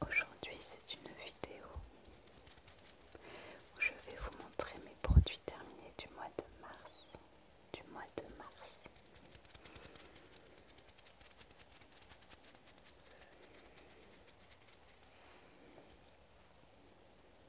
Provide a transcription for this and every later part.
Aujourd'hui, c'est une vidéo où je vais vous montrer mes produits terminés du mois de mars. Du mois de mars.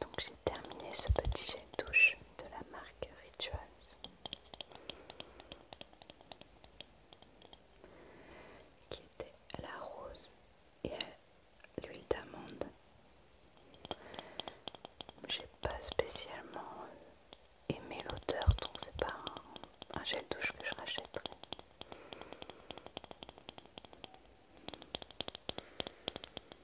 Donc j'ai terminé ce petit jet de touche de la marque Ritual qui était à la rose et l'huile d'amande. J'ai pas spécialement euh, aimé l'odeur, donc c'est pas un, gel gel douche que je rachèterai.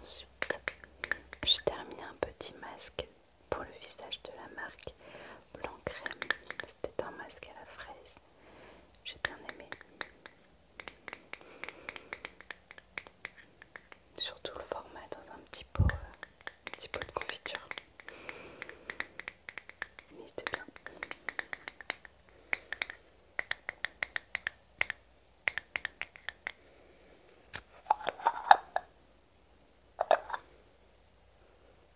Ensuite, je terminé un petit masque pour le visage de la marque Blanc Crème. C'était un masque à la fraise. J'ai bien aimé. Surtout le format dans un petit pot, euh, petit de confiture.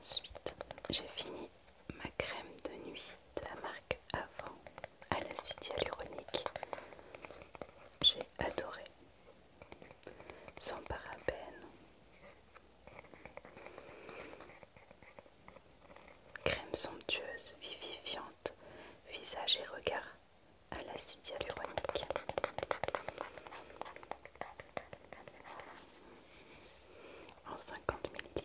Ensuite, j'ai fini ma crème de nuit de la marque Avant à l'acide hyaluronique. J'ai adoré. Sans parabènes. Crème somptueuse, vivifiante, visage et regard à l'acide hyaluronique. En 50 ml.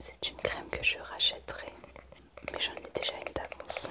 C'est une crème que je rachèterai mais j'en ai déjà une d'avance.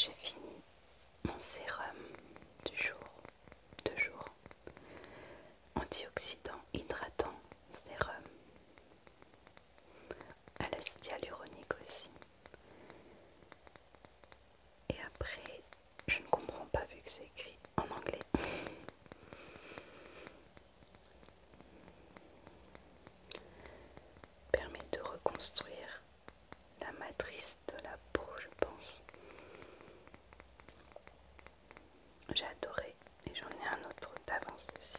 J'ai fini mon sérum du jour, deux jours, antioxydant hydratant sérum à l'acide hyaluronique aussi. Et après, je ne comprends pas vu que c'est écrit en anglais. Permet de reconstruire la matrice de la peau, je pense. J'ai adoré et j'en ai un autre d'avance aussi.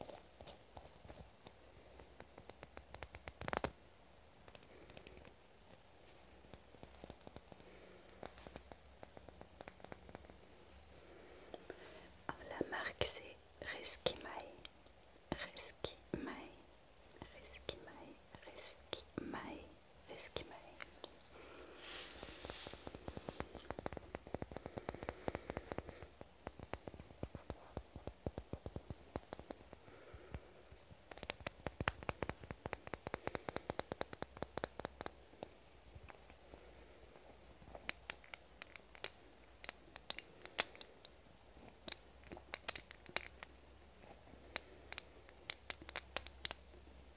Oh, la marque c'est Reski Reskimae, Reski Reskimae est ce qu'il m'arrive.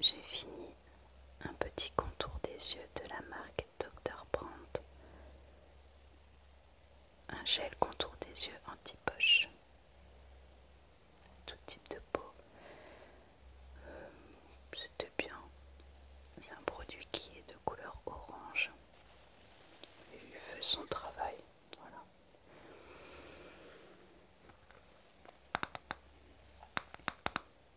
J'ai fini un petit contour des yeux de la marque Dr. Brandt, un gel contour des yeux anti-poche, tout type de peau. Euh, c'était bien. C'est un produit qui est de couleur orange. il fait son travail. Voilà.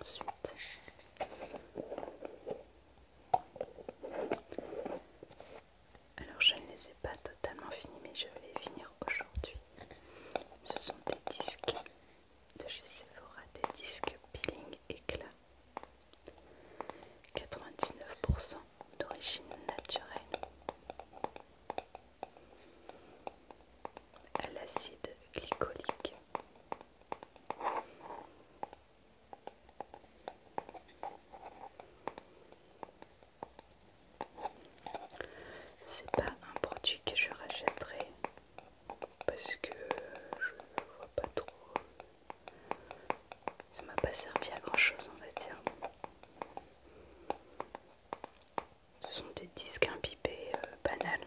Ensuite, alors je ne les ai pas totalement finis, mais je vais les finir aujourd'hui. Ce sont des disques de chez Sephora, des disques peeling éclat. 99% d'origine naturelle à l'acide glycolique. C'est pas un produit que je rachèterai parce que je vois pas trop. Ça m'a pas servi à grand chose, on va dire. Ce sont des disques impipés banales. Euh, banals.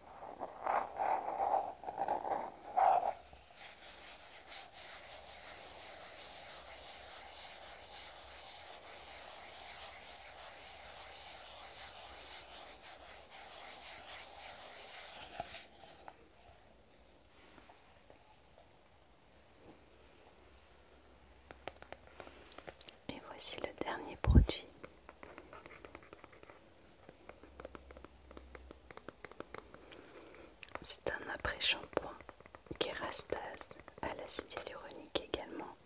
Et voici le dernier produit c'est un après-shampoing kérastase à l'acide hyaluronique également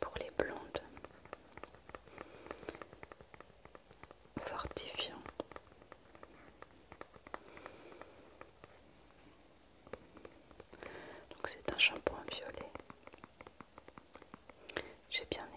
pour les blondes fortifiant donc c'est un shampoing violet j'ai bien aimé.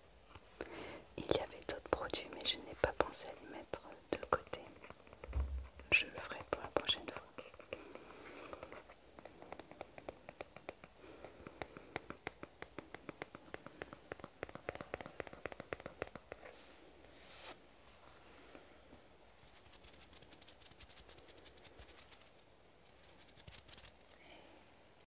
il y avait d'autres produits, mais je n'ai pas pensé à les mettre de côté. Je le ferai pour la prochaine fois.